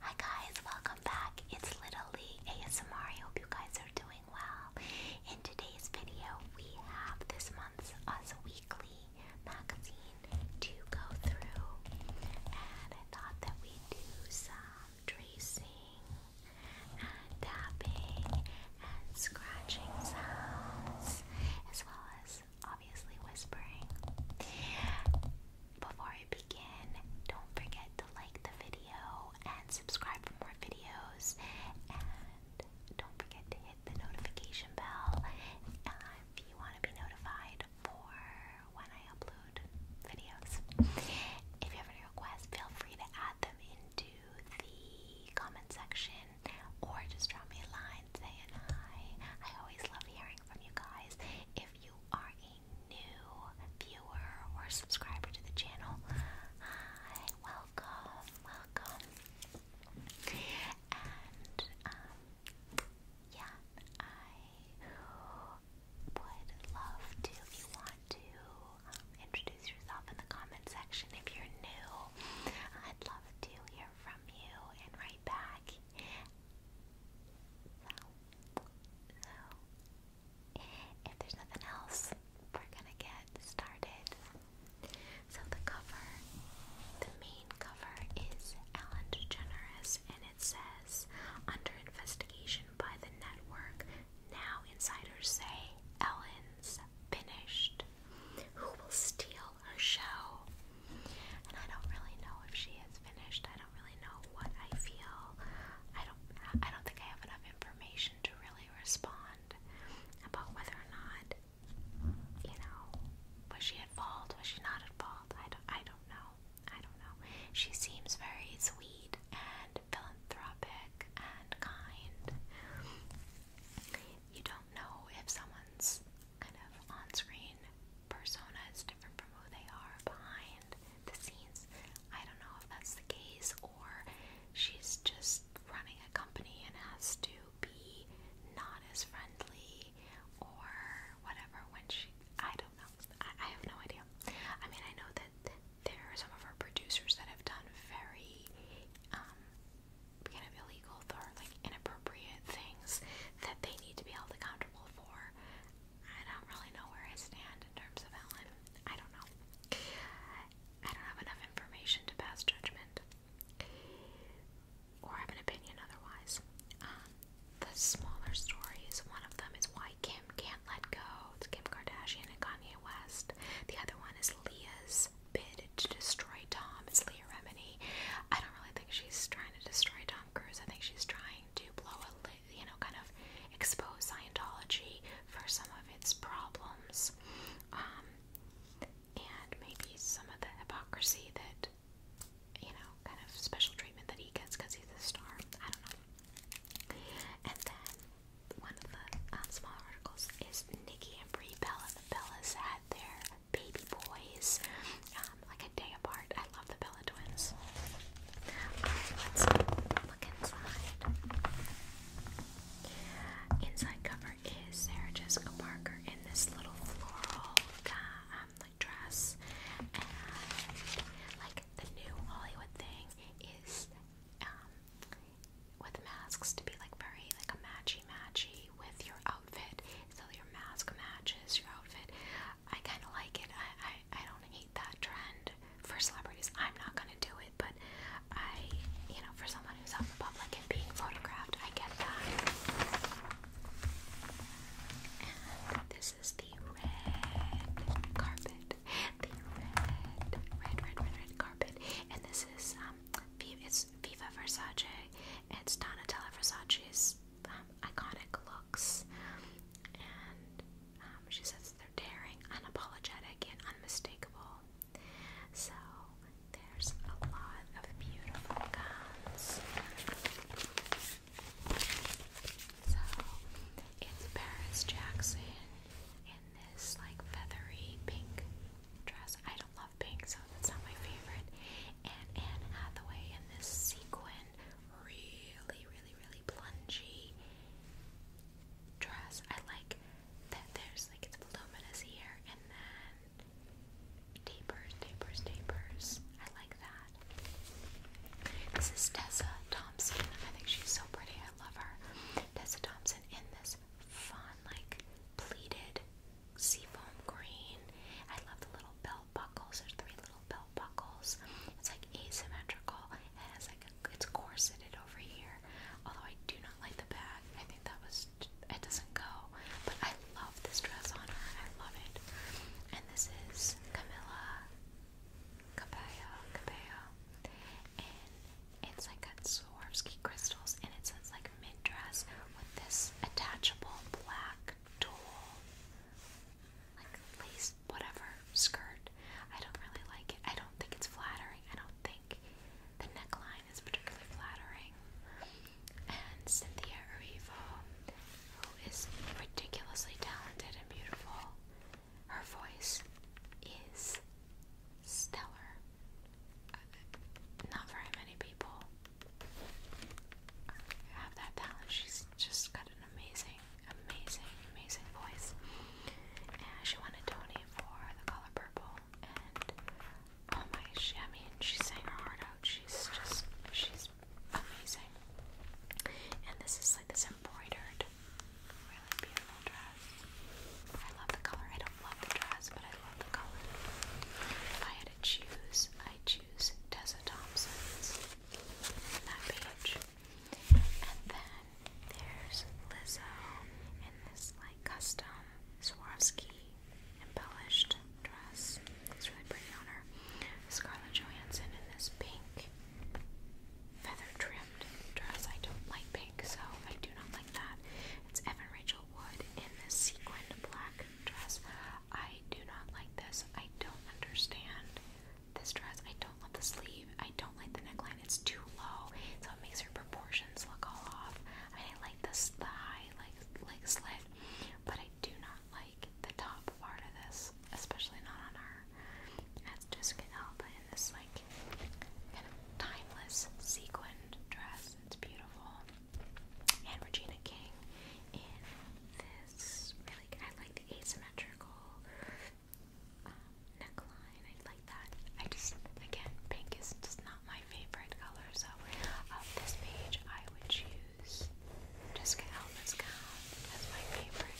Hi guys, welcome back. It's Little ASMR. I hope you guys are doing well. In today's video, we have this month's Us Weekly magazine to go through, and I thought that we do some tracing and tapping and scratching sounds as well as obviously whispering. Before I begin, don't forget to like the video and subscribe for more videos. And don't forget to hit the notification bell if you want to be notified for when I upload videos. If you have any requests, feel free to add them into the comment section or just drop me a line and hi. I always love hearing from you guys. If you are a new viewer or subscriber to the channel, welcome, welcome. And um, yeah, I would love to if you want to um, introduce yourself in the comment section if you're new. I'd love to hear from you and write back so, so if there's nothing else, we're gonna get started. So the cover, the main cover is Ellen DeGeneres and it says under investigation by the network, now insiders say Ellen's finished. Who will steal her show. And I don't really know if she has finished. I don't really know what I feel. I don't I don't think I have enough information to really respond about whether or not you know, was she at fault? Was she not at fault? I don't I don't know. I don't know. She seems very sweet and philanthropic and kind. You don't know if someone's kind of on-screen persona is different from who they are behind the scenes. I don't know if that's the case or she's just running a company and has to be not as friendly or whatever when she I don't know. I, have no idea. I mean, I know that, there are some of our producers that have done very um kind of illegal or inappropriate things that they need to be held accountable for. I don't really know where I stand in terms of Ellen. I don't know. I don't have enough information to pass judgment or have an opinion otherwise. Um, the smaller stories, one of them is why Kim can't let go. It's Kim Kardashian and Kanye West. The other one is Leah's bid to destroy Tom. It's Leah Remini. I don't really think she's trying to destroy Tom Cruise. I think she's trying to blow a lid, you know, kind of expose Scientology for some of its problems, um, and maybe some of the hypocrisy that, you know, kind of special treatment that he gets because he's a star. I don't know. And then one of the uh, small articles is Nikki and Brie Bella. The Bellas had their baby boys, um, like a day apart. I love the Bella twins. let's look inside. Inside cover is Sarah Jessica Parker in this little floral uh, um, like dress, and like the new Hollywood thing is um, with masks to be like very like a matchy matchy with your so your mask matches your outfit. I kind of like it. I, I I don't hate that trend for celebrities. I'm not gonna do it, but I you know for someone who's out in public and being photographed, I get that. this is the red carpet. The red, red, red, red carpet. And this is um, it's Viva Versace. It's Donatella Versace's um, iconic looks, and um, she says they're daring, unapologetic, and unmistakable. So there's a lot of beautiful gowns. So it's Paris Jackson in this like feathery pink dress. I don't love pink, that's not my favorite. And Anne Hathaway in this sequin, really, really, really plungy dress. I like that there's like it's voluminous here and then tapers, tapers, tapers. I like that. This is Tessa Thompson. I think she's so pretty. I love her. Tessa Thompson in this fun, like pleated seafoam green. I love the little belt buckles. There's three little belt buckles. It's like asymmetrical and it's like a, it's corseted over here. Although I do not like the bag. I think that was it doesn't go. But I love this dress on her. I love it. And this is Camilla Cabello Cabello. And it's like got Swarovski crystals and it's says like mid dress with this attachable black tulle, like lace, whatever skirt. I don't really like it. I don't think it's flattering. I don't think the neckline is particularly flattering. And Cynthia Erivo, who is ridiculously talented and beautiful, her voice is stellar. Uh, not very many people have that talent. She's just got an amazing, amazing, amazing voice. And she won Tony for The Color Purple. And oh my, she, I mean, she sang her heart out. She's just, she's amazing. And this is like this embroidered, really beautiful dress. I love the color. I don't love the dress, but I love the color. If I had to choose, I choose. Tessa Thompson's that page. And then there's Lizzo in this like custom Swarovski embellished dress. It's really pretty on her. Scarlett Johansson in this pink feather trimmed dress. I don't like pink, so I do not like that. It's Evan Rachel Wood in this sequined black dress. I do not like this. I don't understand this dress. I don't love the sleeve. I don't like the neckline. It's too low, so it makes her proportions look all off. I mean, I like this the high like like slit, but I do not like the top part of this, especially not on her. That's Jessica Alba in this like kind of timeless sequined dress. It's beautiful and Regina King in this really I like the asymmetrical um, neckline. I like that. I just again pink is just not my favorite color, so of um, this page I would choose just Jessica Alba's gown That's my favorite.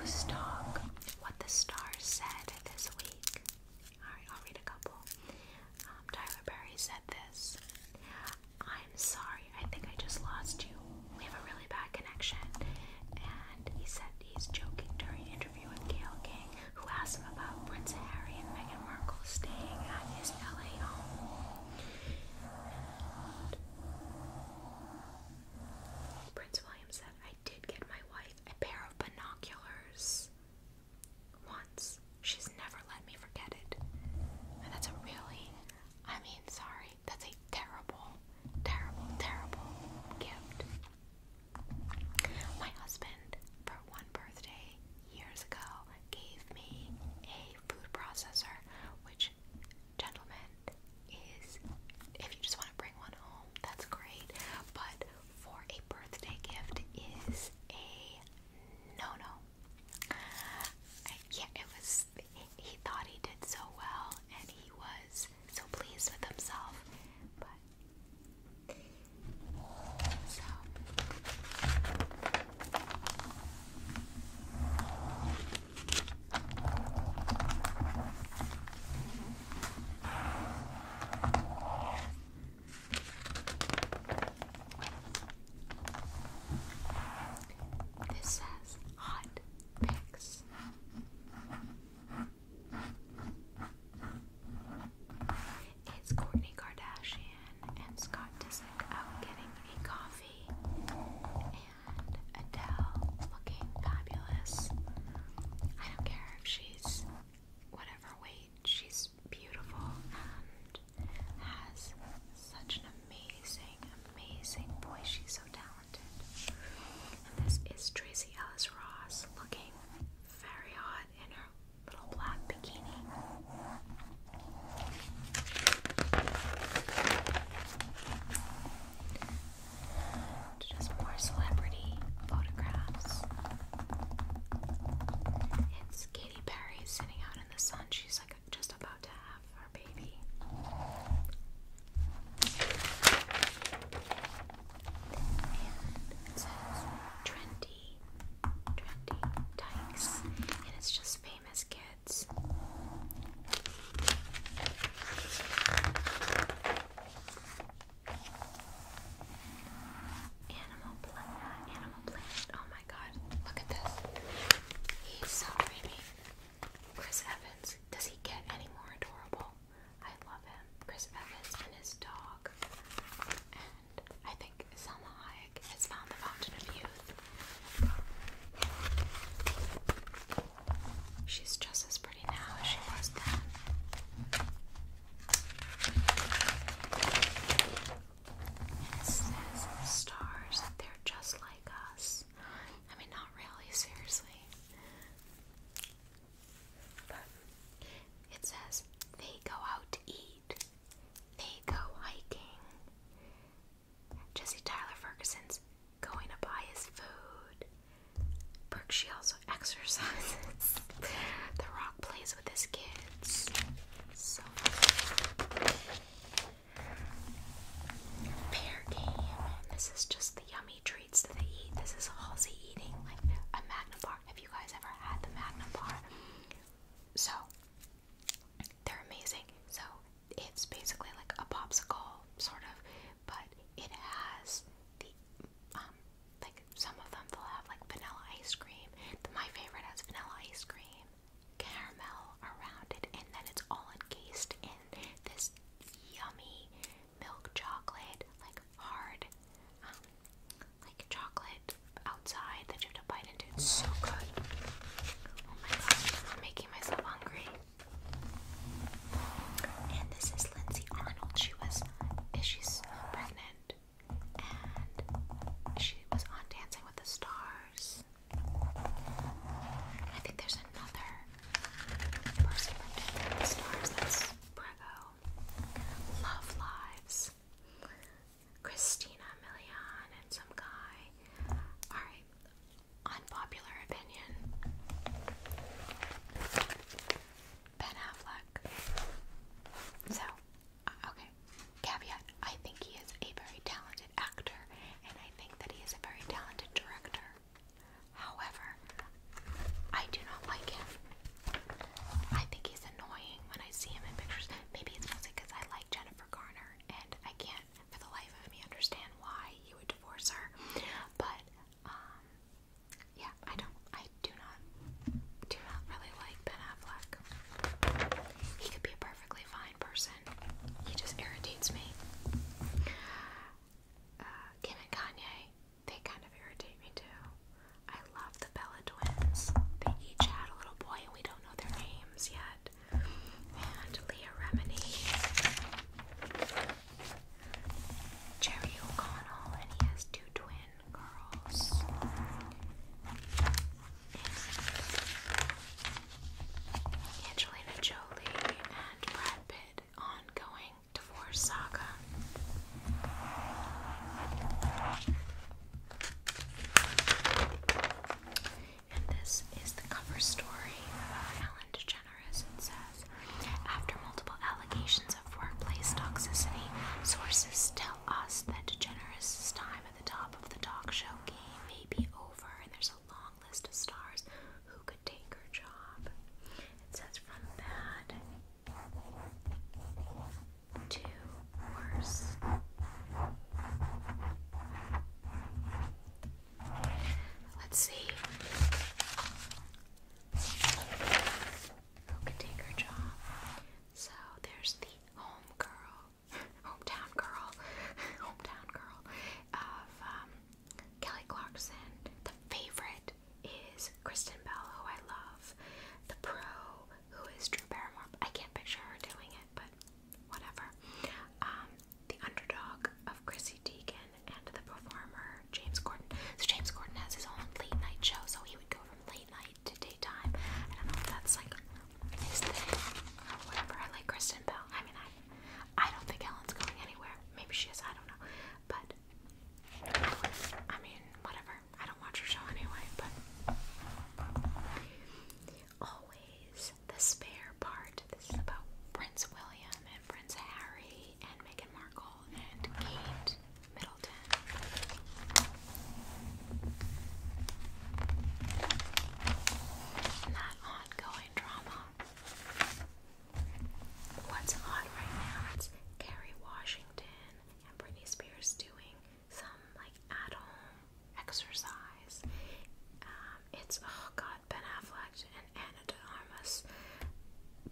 Loose Dog, what the stars said this week. Alright, I'll read a couple. Um, Tyler Perry said this. I'm sorry, I think I just lost you. We have a really bad connection. And he said He's joking during an interview with Gail King, who asked him about Prince Harry and Meghan Markle staying at his LA home. Prince William said, I did get my wife a pair of binoculars once. She's never let me forget it. that's a really, I mean, sorry, that's a terrible, terrible, terrible gift. My husband, for one birthday years ago, gave me a food processor, which, gentlemen, is if you just want to bring one home, that's great. But for a birthday gift is a no no. yeah, it was. He thought he did so well, and he was so pleased with himself, but this says hot picks. It's Kourtney Kardashian and Scott Disick out getting a coffee, and Adele looking fabulous. I don't care if she's whatever weight, she's beautiful and has such an amazing, amazing voice. She's so talented. And this is Tracy Ellis Ross looking very hot in her little black bikini. Just more celebrity photographs. It's Katy Perry sitting out in the sun. She's like just about to have her baby and Trendy, Trendy Dykes, and it's just famous kids. Animal Planet, Animal Planet. Oh my God! Look at this. He's so dreamy. Chris Evans. Does he get any more adorable? I love him. Chris Evans and his dog. And I think Selma Hayek has found the fountain of youth. She's just as pretty now as she was then. it says stars, they're just like us. I mean, not really, seriously it says they go out to eat, they go hiking. Jesse Tyler Ferguson's going to buy his food. Brooke, she also exercises. the Rock plays with his kids. So, pair game. This is just the yummy this is Halsey eating like a Magna Bar. Have you guys ever had the Magna So they're amazing. So it's basically like a popsicle sort of, but it has the um like some of them they'll have like vanilla ice cream. my favorite has vanilla ice cream, caramel around it, and then it's all encased in this yummy milk chocolate, like hard, um, like chocolate outside that you have to bite into. It's so good. Oh my gosh, I'm making myself hungry. And this is Lindsay Arnold. She was, she's pregnant, and she was on Dancing with the Stars. I think there's another person from Dancing with the Stars that's Prego. Love Lives. Christina Milian and some guy. Alright, unpopular opinion. Ben Affleck. So, uh, okay, caveat. I think he is a very talented actor, and I think that he is a very talented director. However, I do not like him. I think he's annoying when I see him in pictures. Maybe it's mostly because I like Jennifer Garner and I can't, for the life of me, understand why he would divorce her. But, um, yeah, I don't, I do not, do not really like Ben Affleck. He could be a perfectly fine person, he just irritates me. Kim uh, and Kanye. They kind of irritate me too. I love the Bella twins. They each had a little boy and we don't know their names yet. And Leah Remini, Jerry O'Connell, and he has two twin girls. Angelina Jolie and Brad Pitt ongoing Divorce Saga. And this is the cover story of Ellen DeGeneres. It says, after multiple allegations of workplace toxicity, sources tell us that DeGeneres' time at the top of the talk show game may be over, and there's a long list of stars who could take her job. It says, from that. Two worse. Let's see. can take her job? So there's the home girl, hometown girl, hometown girl of um, Kelly Clarkson, the favorite is Kristen Bell, who I love. The pro, who is Drew Barrymore. I can't picture her doing it, but whatever. Um, the underdog of Chrissy Teigen and the performer James Corden. So James Corden has his own late night show, so he would go from late night to daytime. I don't know if that's like his thing or whatever. I like Kristen Bell. I mean, I I don't think Ellen's going anywhere. Maybe she is. I don't know. But I mean, whatever. I don't watch your show anyway, but always the spare part. This is about Prince William and Prince Harry and Meghan Markle and Kate Middleton. Not ongoing drama. What's hot right now? It's Kerry Washington and Britney Spears doing some like at-home exercise. Um, it's oh god, Ben Affleck and Anna De Armas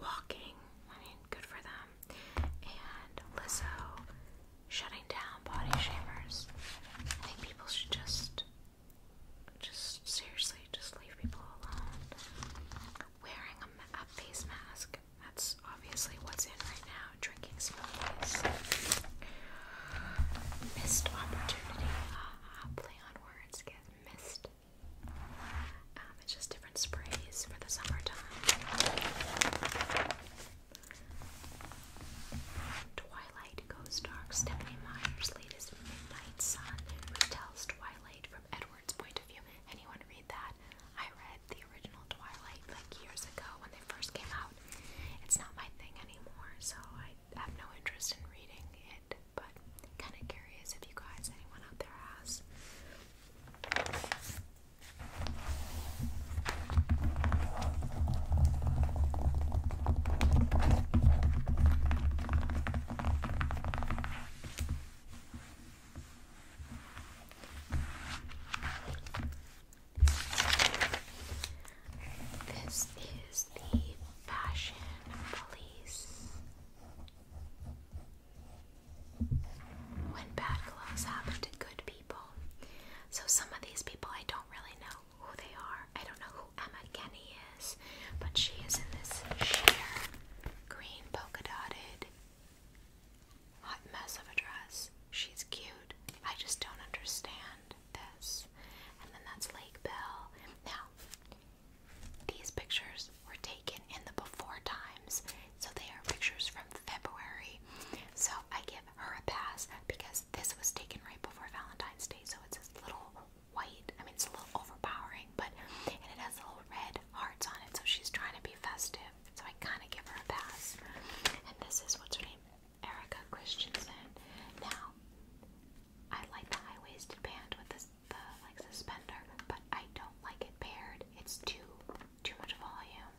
walking. I mean, good for them. And Lizzo shutting down body shamers. I think people should just, just seriously, just leave people alone wearing a, face mask. That's obviously what's in right now. Drinking smoothies. Missed opportunity. Ah, play on words. Get missed. Um, it's just different sprays for the summertime. Twilight Goes Dark. Stephanie Meyer's latest Midnight Sun retells Twilight Edward's point of view. Anyone read that? I read the original Twilight like years ago when they first came out. It's not my thing anymore, so I have no interest in reading it, but kind of curious if you guys, anyone out there has. This is the Fashion Police. When bad gloves happen to good people. So, some of these people I don't really know who they are. I don't know who Emma Kenny is, but she is in this sheer green polka dotted Hot mess of a dress. She's cute. I just don't understand this. And then that's Lake Bell. Now, these pictures were taken in the before times, so they are pictures from February. So I give her a pass because this was taken right before Valentine's Day, so it's this little white. I mean, it's a little overpowering but and it has little red hearts on it, so she's trying to be festive. So I kind of give her a pass. And this is what's her name, Erica Christensen. Now, I like the high-waisted band with this, the like suspender, but I don't like it paired. It's too too much volume.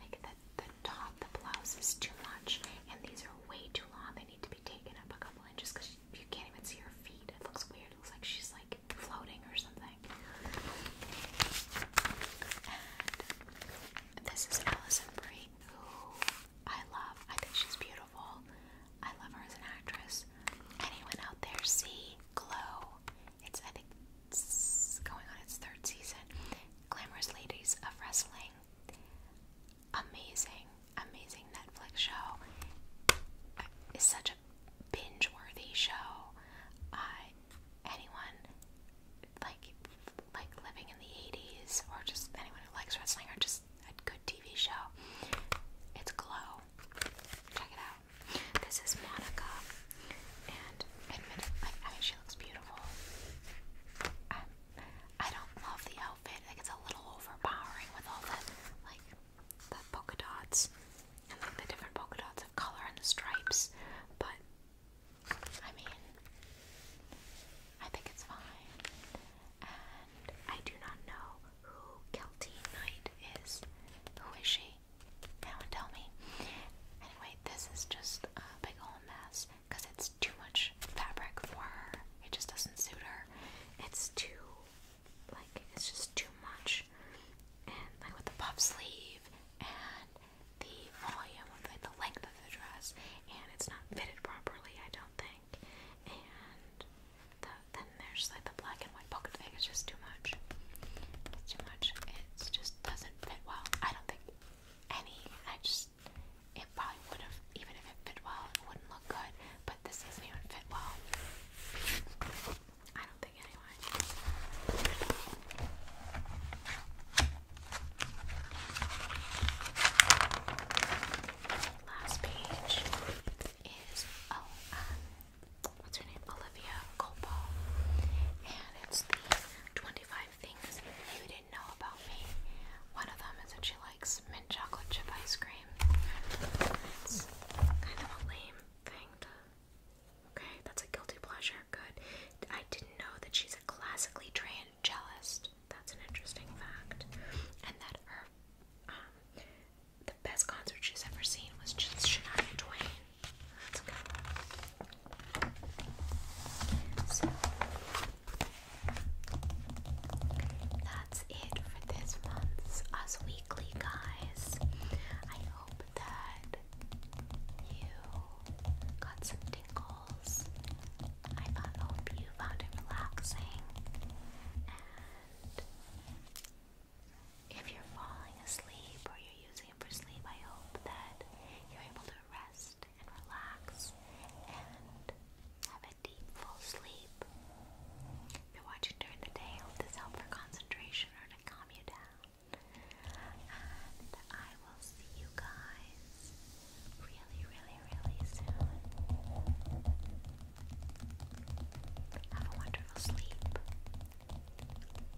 Like the the top, the blouse is too much, and these are way too long. They need to be taken up a couple inches because you can't even see her feet. It looks weird. It looks like she's like floating or something. this is Allison Brie, who I love. I think she's beautiful. I love her as an actress. Anyone out there see Glow? It's I think it's going on its third season. Glamorous Ladies of Wrestling. Amazing, amazing Netflix show. It's such a binge worthy show. anyone like like living in the 80s or just anyone who likes wrestling or just a good TV show. It's Glow. Check it out. This is Monica. And admit I mean she looks beautiful. Um, I don't love the outfit. Like it's a little overpowering with all the like the polka dots and like the different polka dots of color and the stripes, but I mean, I think it's fine. And I do not know who Kelty Knight is. Who is she? No one tell me. Anyway, this is just a big old mess because it's too much fabric for her. It just doesn't suit her. It's too like it's just too much. And like with the puff sleeve and the volume of like the length of the dress, and it's not fitted properly, I don't think. And then there's like the black and white pocket thing. It's just too much. too much. It just doesn't fit well. I don't think any. I just it probably would have even if it fit well, it wouldn't look good. But this doesn't even fit well. I don't think anyway. Last page is oh um what's her name? Olivia Colpo. And it's the 25 things you didn't know about me. One of them is that she likes mint chocolate chip ice cream. It's kind of lame thing Okay, that's a guilty pleasure. Good. I didn't know that she's a classically trained cellist. That's an interesting fact. And that her, um, the best concert she's ever seen was just Shania Twain. That's good. So, that's it for this month's Us Weekly weekly, guys. I hope that you got some tingles. I hope you found it relaxing. And if you're falling asleep or you're using it for sleep, I hope that you're able to rest and relax and have a deep, full sleep. If you're watching during the day, this help for concentration or to calm you down? And I will see you guys really, really, really soon. Have a wonderful sleep.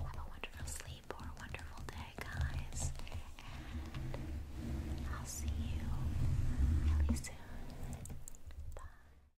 Have a wonderful sleep or a wonderful day, guys. And I'll see you really soon. Bye.